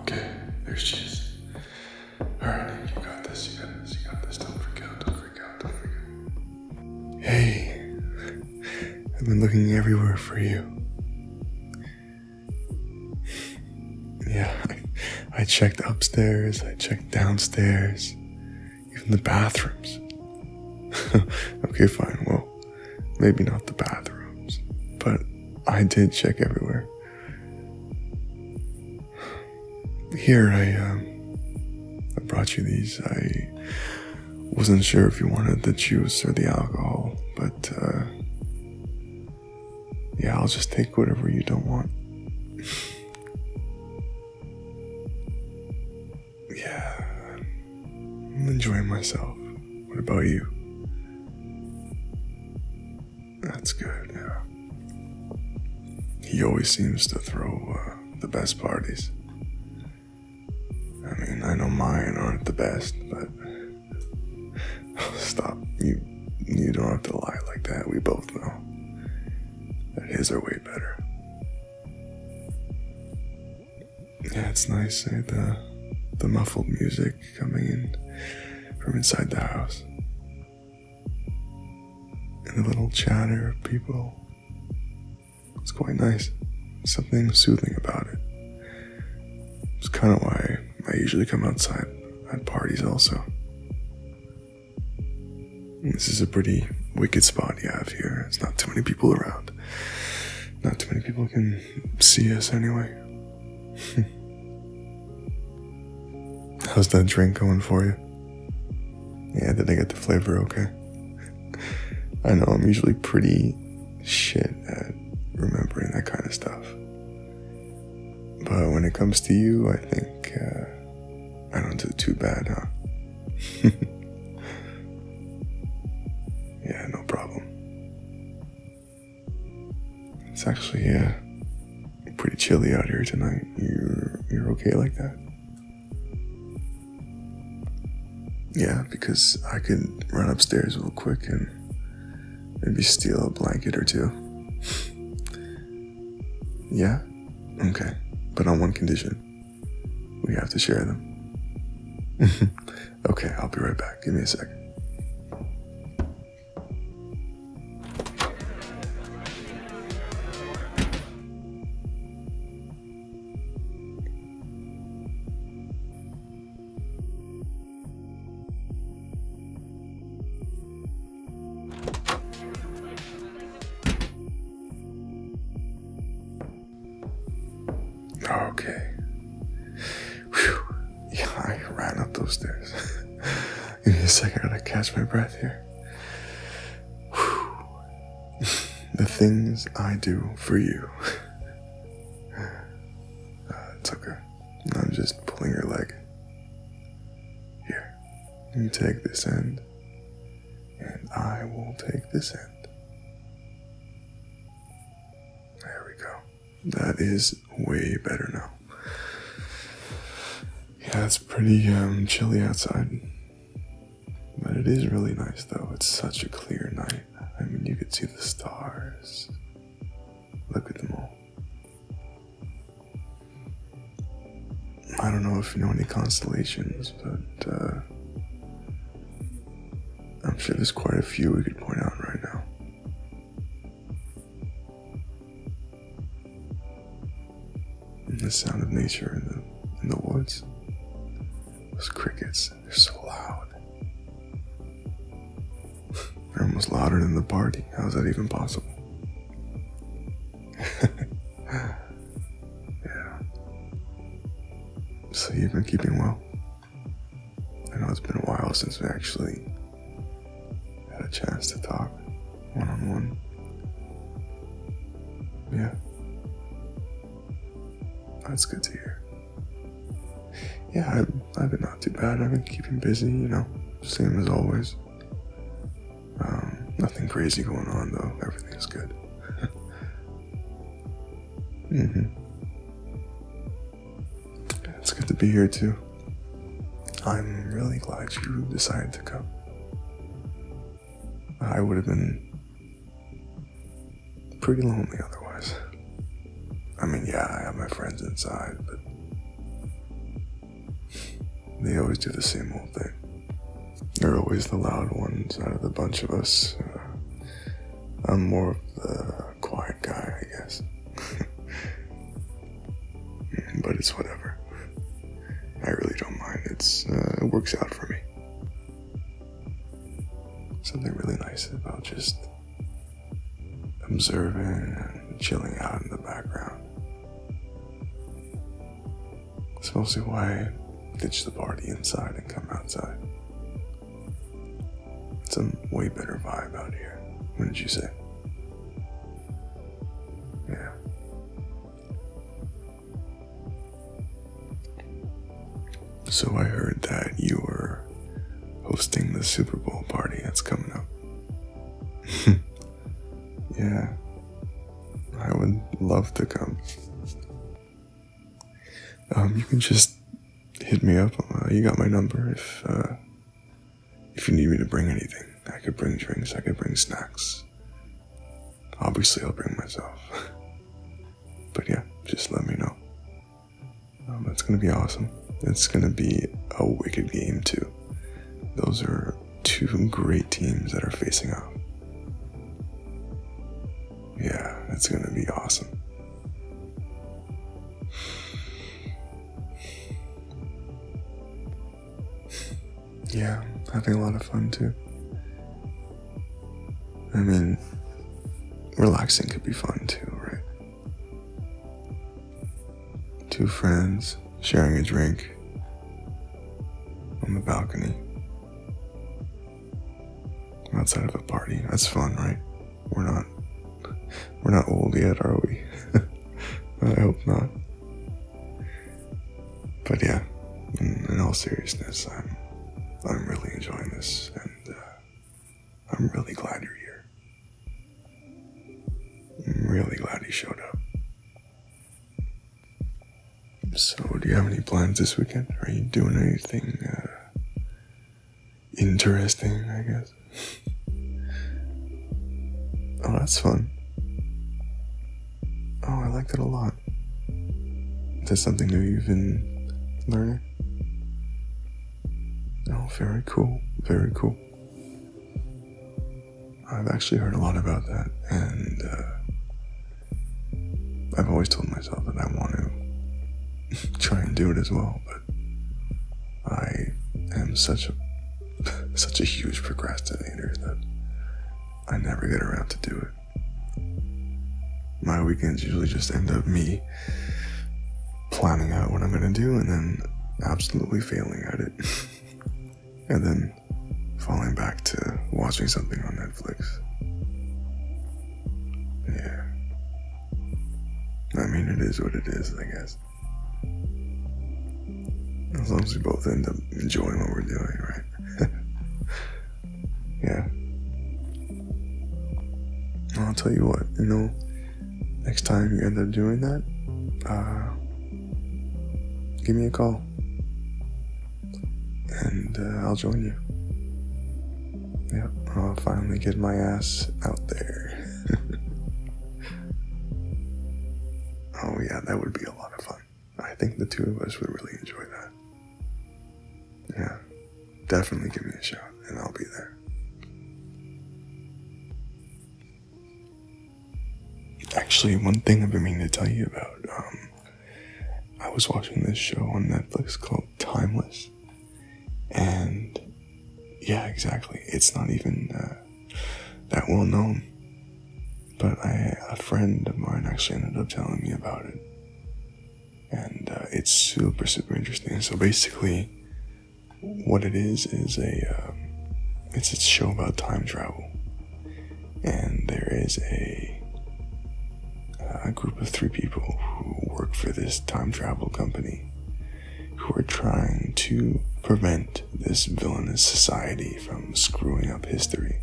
Okay, there she Alright, you got this, you got this, you got this. don't freak out. Hey, I've been looking everywhere for you. Yeah, I, checked upstairs, I checked downstairs, even the bathrooms. okay, fine, well, maybe not the bathrooms, but I did check everywhere. Here, I, um, I brought you these. I wasn't sure if you wanted the juice or the alcohol, but uh, yeah, I'll just take whatever you don't want. yeah, I'm enjoying myself. What about you? That's good, yeah. He always seems to throw uh, the best parties. I mean, I know mine aren't the best, but stop. You you don't have to lie like that. We both know that his are way better. Yeah, it's nice. Eh? The the muffled music coming in from inside the house and a little chatter of people. It's quite nice. something soothing about it. It's kind of why I usually come outside at parties, also. This is a pretty wicked spot you have here. It's not too many people around. Not too many people can see us anyway. How's that drink going for you? Yeah, did I get the flavor okay? I know I'm usually pretty shit at remembering that kind of stuff. But when it comes to you, I think uh, I don't do too bad, huh? yeah, no problem. It's actually, yeah. Uh, pretty chilly out here tonight. You're you're okay like that? Yeah, because I could run upstairs real quick and maybe steal a blanket or two. yeah? Okay. But on one condition. We have to share them. okay, I'll be right back. Give me a second. Okay. Whew. Yeah, I ran up those stairs. Give me a second, I gotta catch my breath here. the things I do for you. Uh, it's okay. I'm just pulling your leg. Here, you take this end, and I will take this end. There we go. That is way better now. Yeah, it's pretty um, chilly outside. But it is really nice though. It's such a clear night. I mean, you could see the stars. Look at them all. I don't know if you know any constellations, but uh, I'm sure there's quite a few we could point out right now. And the sound of nature in the in the woods. Those crickets, they're so loud. They're almost louder than the party. How is that even possible? yeah. So you've been keeping well. I know it's been a while since we actually had a chance to talk one on one. Yeah. That's good to hear. Yeah, I've, been not too bad. I've been keeping busy, you know, same as always. Um, nothing crazy going on though. Everything is good. mm-hmm. It's good to be here too. I'm really glad you decided to come. I would have been pretty lonely otherwise. I mean, yeah, I have my friends inside, but they always do the same old thing. They're always the loud ones out of the bunch of us. Uh, I'm more of the quiet guy, I guess. but it's whatever. I really don't mind. It's uh, it works out for me. Something really nice about just observing and chilling out in the background. It's mostly why I ditched the party inside and come outside. It's a way better vibe out here. What did you say? Yeah. So I heard that you were hosting the Super Bowl party that's coming up. yeah. I would love to come. Um, you can just hit me up. Uh, you got my number if uh, if you need me to bring anything. I could bring drinks. I could bring snacks. Obviously, I'll bring myself. but yeah, just let me know. it's um, gonna be awesome. It's gonna be a wicked game too. Those are two great teams that are facing off. Yeah, it's gonna be awesome. Yeah, having a lot of fun too. I mean, relaxing could be fun too, right? Two friends sharing a drink on the balcony outside of a party. That's fun, right? We're not we're not old yet, are we? I hope not. But yeah, in, all seriousness, I'm I'm really enjoying this, and uh, I'm really glad you're here. I'm really glad you showed up. So, do you have any plans this weekend? Are you doing anything uh, interesting, I guess? oh, that's fun. Oh, I like that a lot. Is something new you've been learning? Oh, very cool. Very cool. I've actually heard a lot about that, and uh, I've always told myself that I want to try and do it as well, but I am such a such a huge procrastinator that I never get around to do it. My weekends usually just end up me planning out what I'm gonna do and then absolutely failing at it. and then falling back to watching something on Netflix. Yeah. I mean, it is what it is, I guess. As long as we both end up enjoying what we're doing, right? yeah. I'll tell you what, you know, next time you end up doing that, uh, give me a call and uh, I'll join you. Yeah, I'll finally get my ass out there. oh, yeah, that would be a lot of fun. I think the two of us would really enjoy that. Yeah, definitely give me a shout, and I'll be there. Actually, one thing I've been meaning to tell you about, um, I was watching this show on Netflix called Timeless, and yeah, exactly. It's not even uh, that well known, but a friend of mine actually ended up telling me about it, and uh, it's super super interesting. So basically, what it is is a um, it's a show about time travel and there is a, group of three people who work for this time travel company who are trying to prevent this villainous society from screwing up history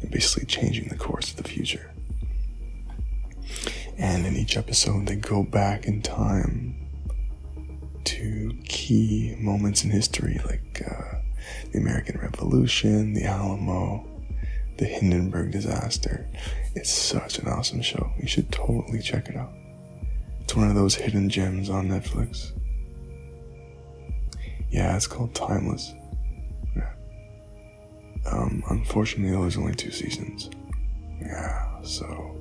and basically changing the course of the future. And in each episode, they go back in time to key moments in history like uh, the American Revolution, the Alamo, the Hindenburg disaster. It's such an awesome show. You should totally check it out. It's one of those hidden gems on Netflix. Yeah, it's called Timeless. Um, unfortunately, there's only two seasons. Yeah, so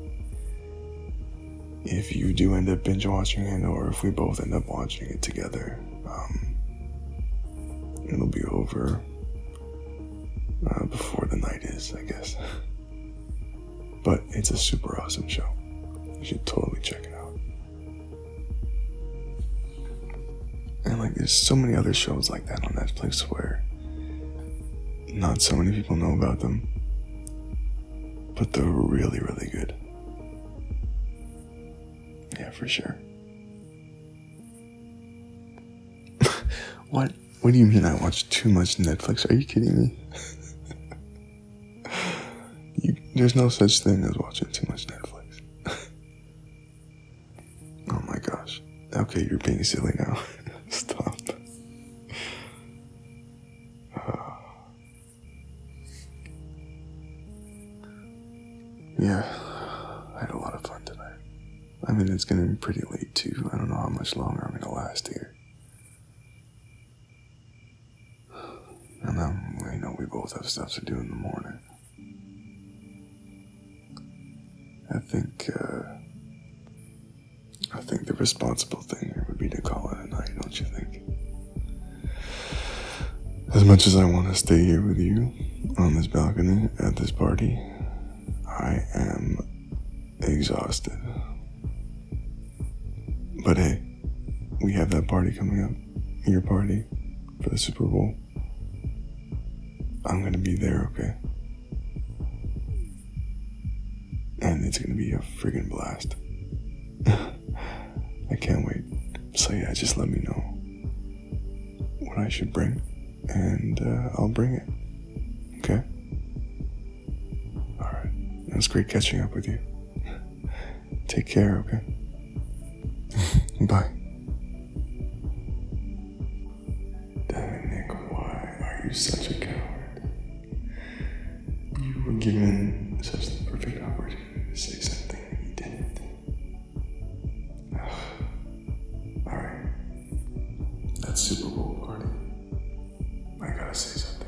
if you do end up binge watching it or if we both end up watching it together um, it'll be over uh, before the night is i guess but it's a super awesome show you should totally check it out and like there's so many other shows like that on netflix where not so many people know about them but they're really really good yeah, for sure. what? What do you mean I watch too much Netflix? Are you kidding me? there's no such thing as watching too much Netflix. oh my gosh. Okay, you're being silly now. Stop. Uh, yeah, I had a lot of fun tonight. I mean, it's getting pretty late too. I don't know how much longer I'm gonna last here. And um, I know we both have stuff to do in the morning. I think, uh, I think the responsible thing would be to call it a night, don't you think? As much as I want to stay here with you on this balcony at this party, I am exhausted. But hey, we have that party coming up. Your party for the Super Bowl. I'm gonna be there, okay? and it's gonna be a friggin' blast. I can't wait. So, yeah, just let me know what I should bring, and uh, I'll bring it. Okay? Alright. It was great catching up with you. Take care, okay? Bye. Dominic, why are you such a coward? You were given such a perfect opportunity to say something and you didn't. Alright. That Super Bowl party. I gotta say something.